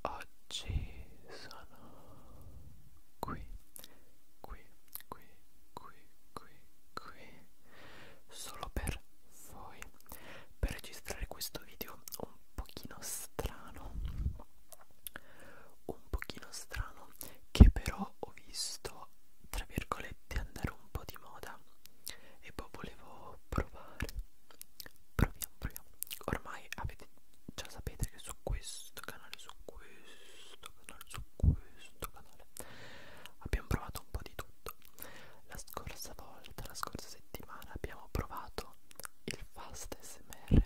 oggi sono qui, qui, qui, qui, qui, qui, solo per voi, per registrare questo video un pochino strano, un pochino strano che però ho visto tra virgolette andare un po' di moda e poi volevo provare proviamo proviamo ormai avete già sapete che su questo canale, su questo canale, su questo canale abbiamo provato un po' di tutto. La scorsa volta, la scorsa settimana abbiamo provato il fast smr.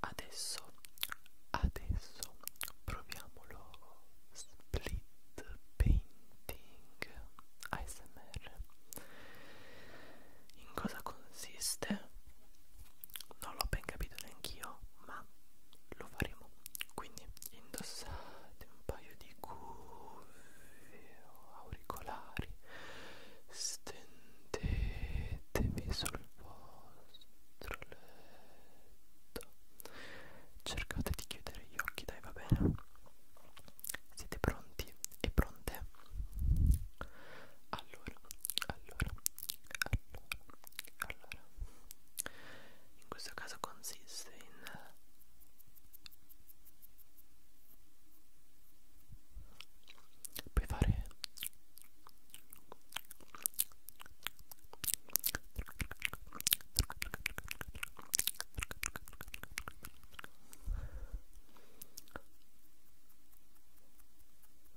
Adesso, adesso proviamo lo split painting ASMR in cosa consiste non l'ho ben capito neanch'io ma lo faremo quindi indossate un paio di cuffie o auricolari stendetevi sul vostro letto cercate di chiudere gli occhi dai va bene siete pronti e pronte allora, allora, allora, allora. In questo caso consiste in puoi fare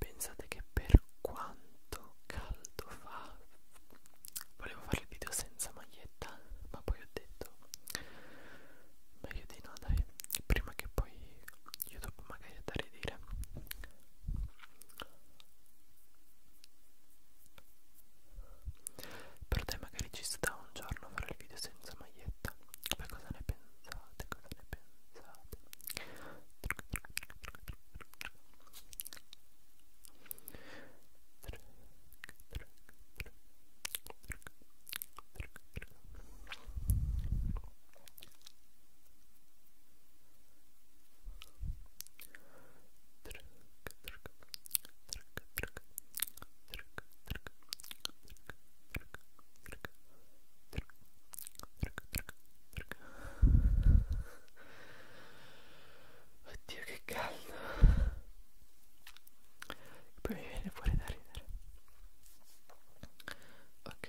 Pensate che per quanto caldo fa volevo fare il video senza maglietta, ma poi ho detto meglio di no dai, prima che poi YouTube magari è da ridire. Per te magari ci sta un giorno a fare il video senza maglietta. Poi cosa ne pensate? Cosa ne pensate? Oddio che caldo Poi mi viene fuori da ridere Ok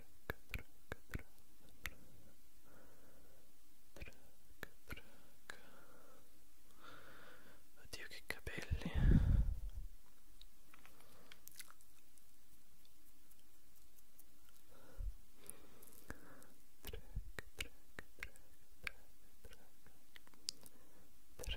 Oddio che capelli Track, track, track, track, track,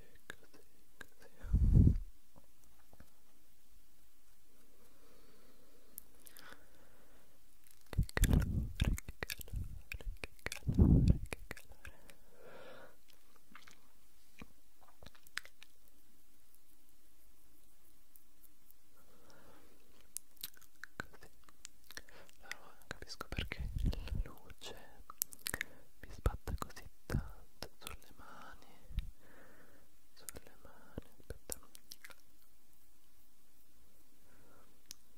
così che calore, che calore, che calore, che calore così allora non capisco perché la luce mi sbatte così tanto sulle mani sulle mani aspetta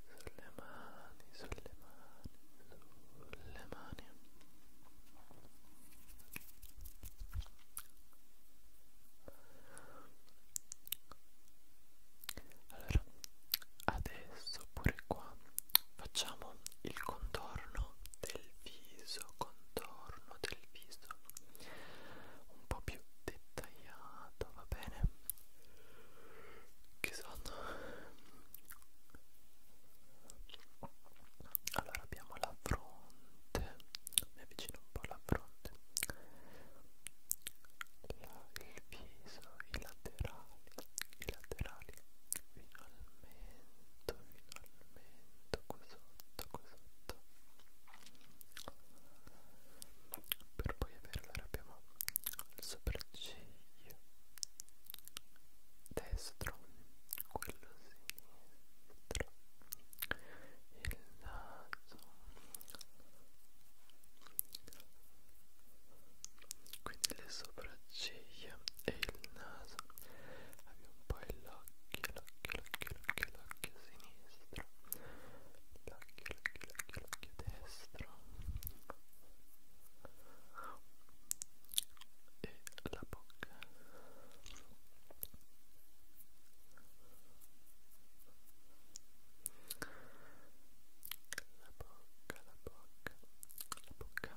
sulle mani sulle mani sulle mani allora adesso pure qua facciamo il contorno del viso, contorno del viso un po' più dettagliato, va bene? Che sono? Allora abbiamo la fronte, mi avvicino un po' alla fronte, la, il viso, i laterali, i laterali, finalmente, finalmente qui sotto, qui sotto per poi avere allora abbiamo il sopracciglio destro, quello sinistro, il naso quindi le sopracciglia e il naso abbiamo poi l'occhio, l'occhio, l'occhio, l'occhio sinistro l'occhio, l'occhio, l'occhio, l'occhio destro e la bocca la bocca, la bocca, la bocca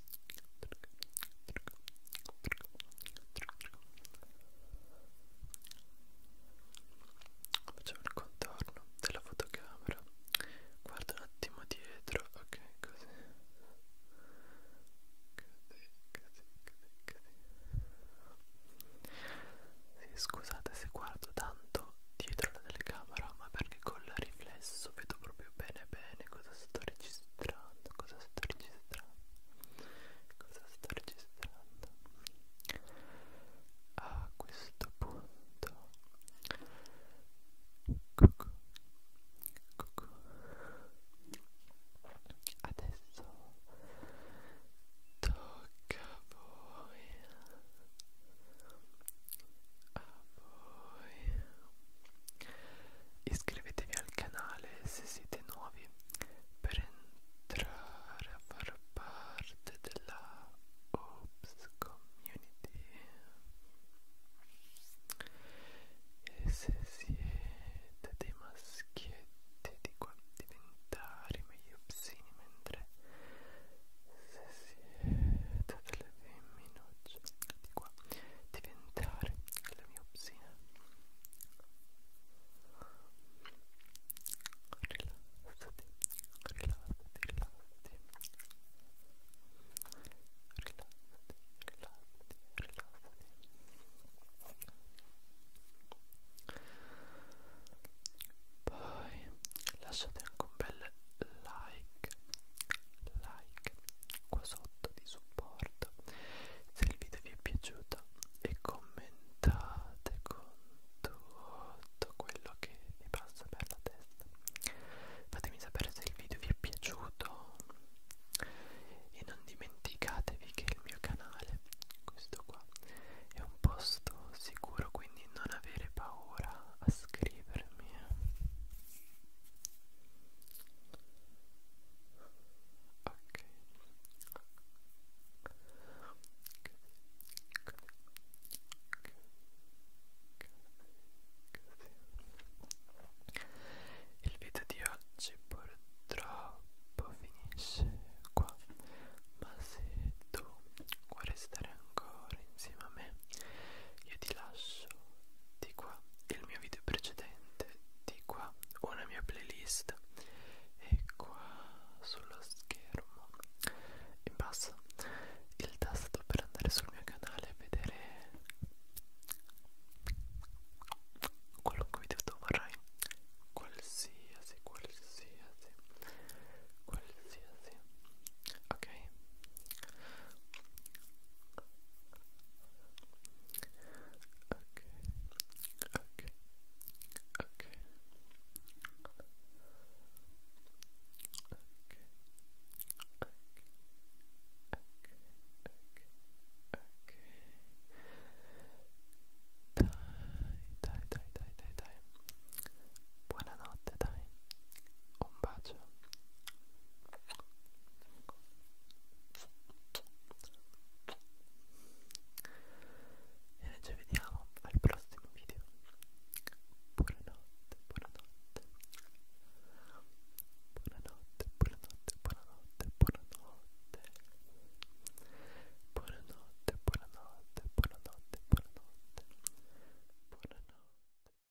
Facciamo il contorno della fotocamera. Guarda un attimo dietro, ok, così. Così, così, così, così. Sì, scusate se guardo tanto dietro la telecamera, ma perché col riflesso vedo proprio bene bene cosa sto registrando registrando? Cosa sto registrando? Cosa sto registrando? A questo punto cucù, cucù. Adesso tocca a voi a voi iscrivetevi al canale se siete nuovi per entrare a far parte della Ops Community e se siete dei maschietti di qua diventare meglio psini mentre se siete delle femminucce di qua diventare la miopsina rilassati rilassati rilassati rilassati rilassati rilassati poi lasciate anche un bel like like qua sotto di supporto se il video vi è piaciuto e commentate con tutto quello che vi passa per la testa fatemi sapere se il video vi è piaciuto e non dimenticatevi che il mio canale questo qua è un posto sicuro quindi non avere paura a scrivere mia ok il video di oggi purtroppo finisce qua ma se tu vuoi restare ancora corre insieme a me. Io ti lascio di qua il mio video precedente, di qua una mia playlist e qua sullo schermo in basso il tasto per andare sul mio canale e vedere qualunque video tu vorrai qualsiasi qualsiasi qualsiasi ok ok ok ok ok ok ok dai dai dai dai dai dai buonanotte dai un bacio e noi ci vediamo al prossimo video. Buonanotte, buonanotte. Buonanotte, buonanotte, buonanotte, buonanotte. Buonanotte, buonanotte, buonanotte, buonanotte. Buonanotte.